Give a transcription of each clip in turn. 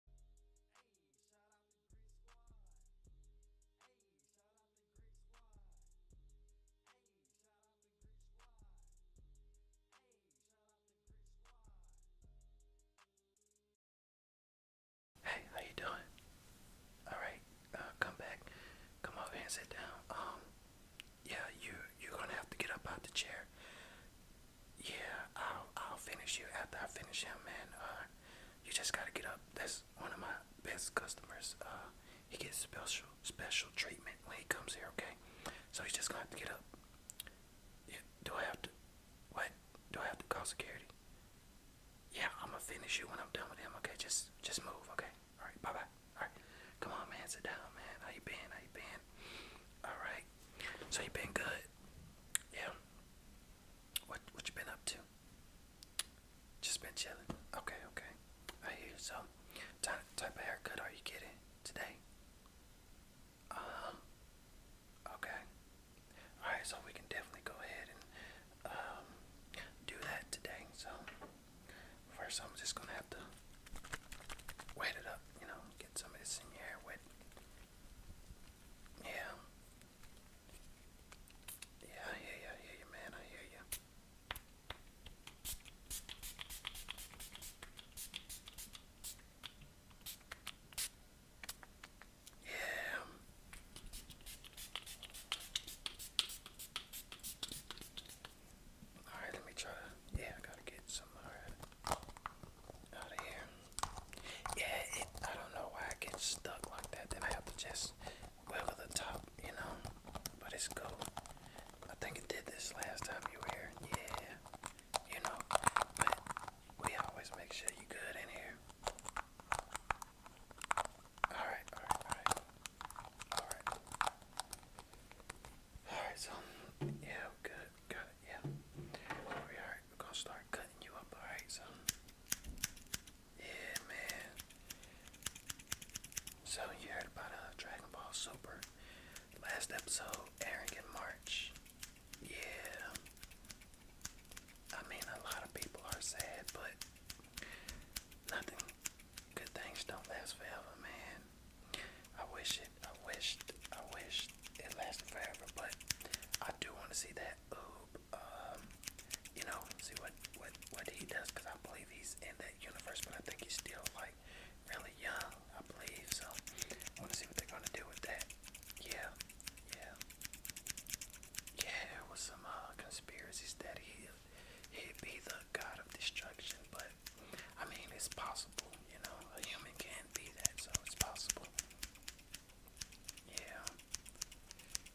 Hey, shout out the the Greek Squad. how you doing? Alright, uh, come back. Come over here sit down. Um, yeah, you you're gonna have to get up out the chair yeah, I'll I'll finish you after I finish him, man. Uh, you just gotta get up. That's one of my best customers. Uh, he gets special special treatment when he comes here. Okay, so he's just gonna have to get up. Yeah, do I have to? What? Do I have to call security? Yeah, I'm gonna finish you when I'm done with him. Okay, just just move. Okay, all right, bye bye. All right, come on, man, sit down, man. How you been? How you been? All right. So you been good? yeah, what what you been up to? Just been chilling. Okay, okay. I hear you. So, type type of haircut are you getting today? Um. Okay. All right. So we can definitely go ahead and um do that today. So first, I'm just gonna have to wet it up. You know, get some of this in your hair wet. Yeah. Yeah, I hear you, I hear you, man, I hear you. Yeah. Alright, let me try to. Yeah, I gotta get some. Alright. Yeah, I don't know why I get stuck like that. Then I have to just wiggle the top, you know. But it's cool. I think it did this last time you were here. Yeah, you know. But we always make sure you good in here. all right, all right, all right. Alright, so, yeah, good, got it, yeah. Alright, we're gonna start cutting you up, alright, so. Yeah, man. So, you heard about uh, Dragon Ball Super. last episode airing in March. Yeah. I mean, a lot of people are sad, but nothing. Good things don't last forever, man. I wish it. I wished. I wished it lasted forever, but I do want to see that Oob. Um, you know, see what what what he does because I believe he's in that universe, but I think he's still like really young. I believe so. I want to see what they're gonna do with that. Yeah, yeah, yeah. There was some uh, conspiracies that he he'd be the god of destruction, but but I mean, it's possible, you know, a human can be that, so it's possible. Yeah,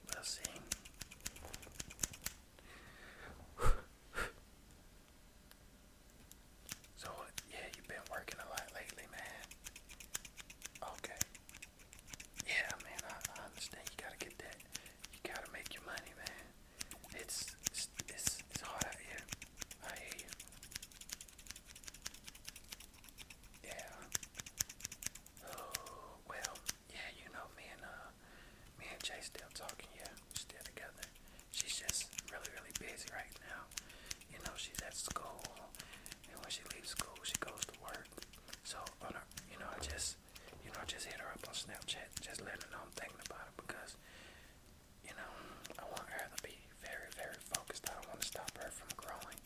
we'll see. So, yeah, you've been working a lot lately, man. Okay. Yeah, man, I, I understand. You gotta get that. You gotta make your money, man. It's it's it's, hot out here. I hear you. Yeah. Oh well, yeah, you know me and uh me and Jay still talking, yeah, we're still together. She's just really, really busy right now. You know, she's at school and when she leaves school she goes to work. So on her you know, I just you know, I just hit her up on Snapchat, just letting her know I'm thinking about her because you know I want her to be very, very focused. I don't want to stop her from growing.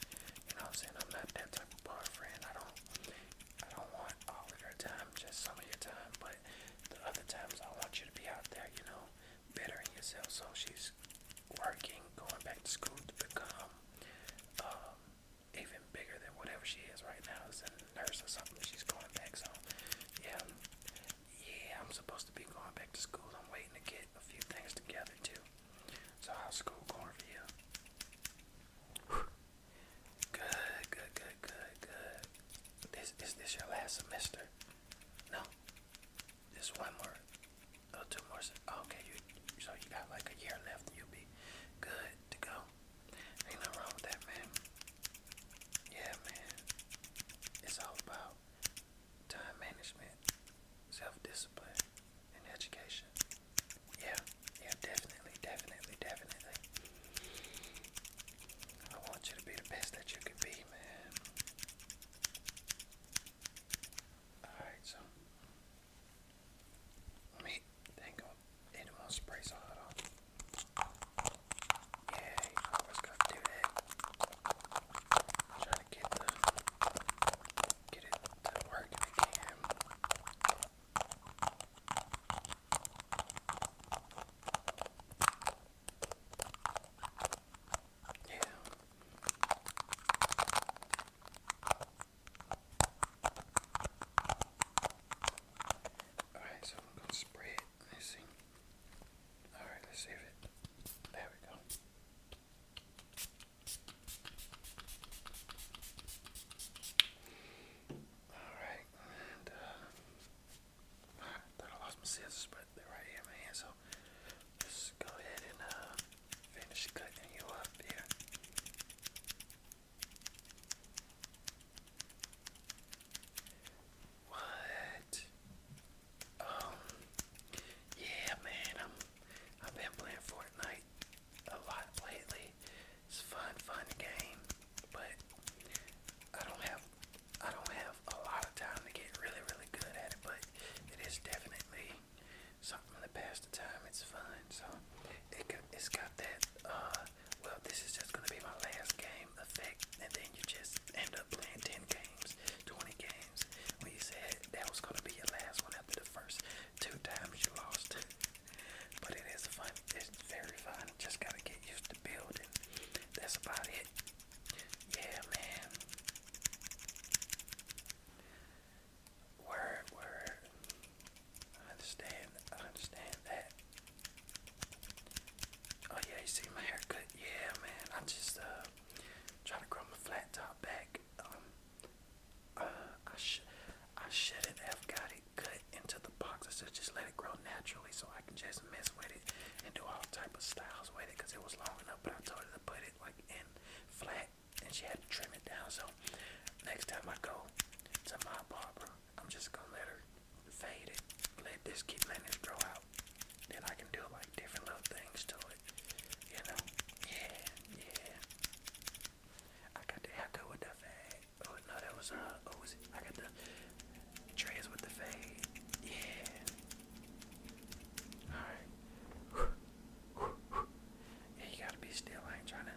You know I'm saying? I'm not that type of boyfriend. I don't I don't want all of your time, just some of your time, but the other times I want you to be out there, you know, bettering yourself. So she's working, going back to school to become um, even bigger than whatever she is right now nurse or something. She's going back, so yeah, yeah. I'm supposed to be going back to school. I'm waiting to get a few things together too. So how's school going for you? Good, good, good, good, good. This is this your last semester? No. This one more, oh, two more. Oh, okay, you so you got like a year left, and you'll be good to go. Ain't nothing wrong with that, man. Yeah, man. It's all about time management, self-discipline, and education. Yeah, yeah, definitely, definitely, definitely. I want you to be the best that you can be, man. Alright, so let me think and we'll spray some of it on. Yeah, you always gotta do that. Trying to get the get it to work if you can. Yeah. Alright, so we're gonna spray it. Let's see. Alright, let's save it. There we go. Alright, uh, ah, thought I lost my scissors, but they're right here in my hand, so let go ahead and uh, finish cutting you up here. What? Um, yeah, man, I'm, I've been playing Fortnite a lot lately. It's fun, fun game, but I don't have, I don't have a lot of time to get really, really good at it. But it is definitely something to pass the time. It's fun. So it has got that. Uh, well, this is just gonna be my last game effect, and then you just end up playing ten games, twenty games. When you said that was gonna be your last one after the first two times you lost, but it is fun. It's very fun. Just gotta get used to building. That's about it. Yeah, man. Word, word. I understand. I understand that. Oh yeah, you see my hair cut? Yeah, man. I just uh trying to grow my flat top back. Um, uh, I should, I shouldn't have got it cut into the box. I should just let it grow naturally so I can just mess with it and do all type of styles with it because it was long enough. But I told her to put it like in flat and she had to trim it down. So next time I go to my barber, I'm just gonna let her fade it, let this keep letting it grow out. Then I can do like different little things to it, you know? Yeah, yeah. I got the haircut with the fade. Oh no, that was uh, oh, I got the trays with the fade. Yeah. All right. Yeah, you gotta be still. I ain't trying to,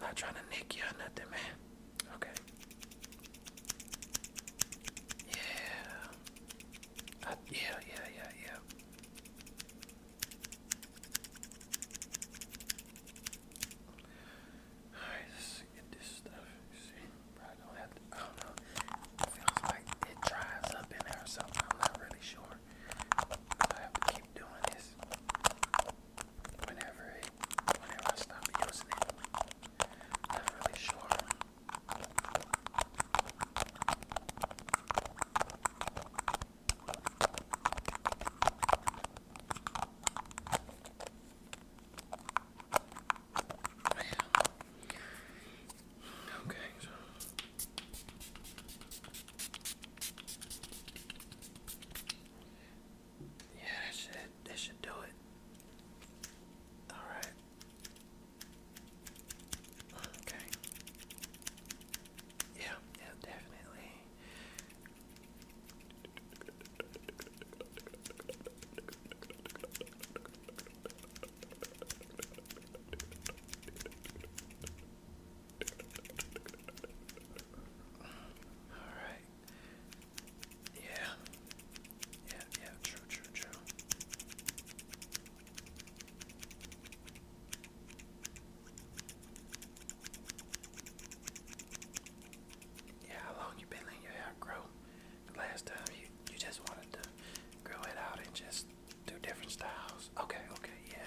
not trying to nick you or nothing, man. Okay. Yeah. yeah, yeah, yeah, yeah. Alright, get this stuff. See, probably don't have to. I don't know. feels like it dries up in there or something. I'm not really sure. I have to keep doing this whenever it, whenever I stop using it. Not really sure. Okay, Yeah, that should, that should do it. Alright. Okay. Yeah, yeah, definitely. Alright. Yeah. Yeah, yeah, true, true, true. Yeah, how long you been letting your hair grow? last time you you just wanted to grow it out and just Two different styles. Okay, okay, yeah.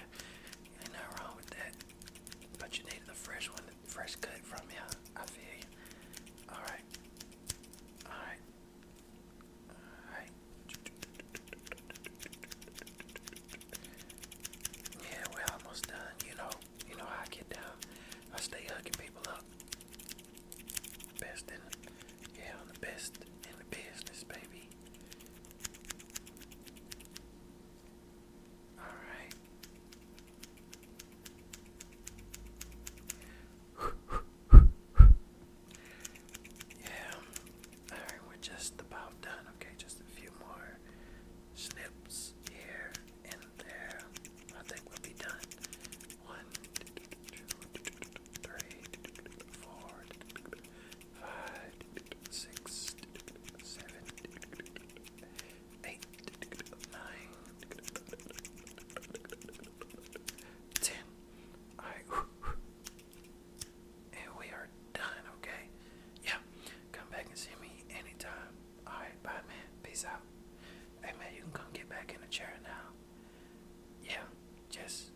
Ain't nothing wrong with that. But you needed the fresh one, the fresh cut from you. I feel you. Alright. Alright. Alright. Yeah, we're almost done. You know, you know how I get down. I stay hugging people up. Best in, yeah, the best in the business, baby. Alright. yeah. Alright, we're just about done. Okay, just a few more snips here and there. I think we'll be done. One, two, three, four, five, six, seven, eight, nine, ten. All right, and we are done. Okay, yeah. Come back and see me anytime. All right, bye, man. Peace out. Hey, man, you can come get back in the chair now yeah, just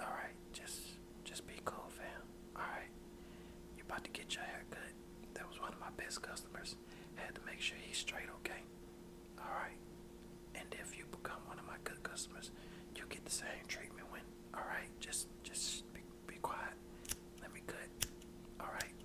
all right, just just be cool, fam. All right, you about to get your hair cut. That was one of my best customers. Had to make sure he's straight, okay? All right. And if you become one of my good customers, you get the same treatment. When all right, just just be, be quiet. Let me cut. All right.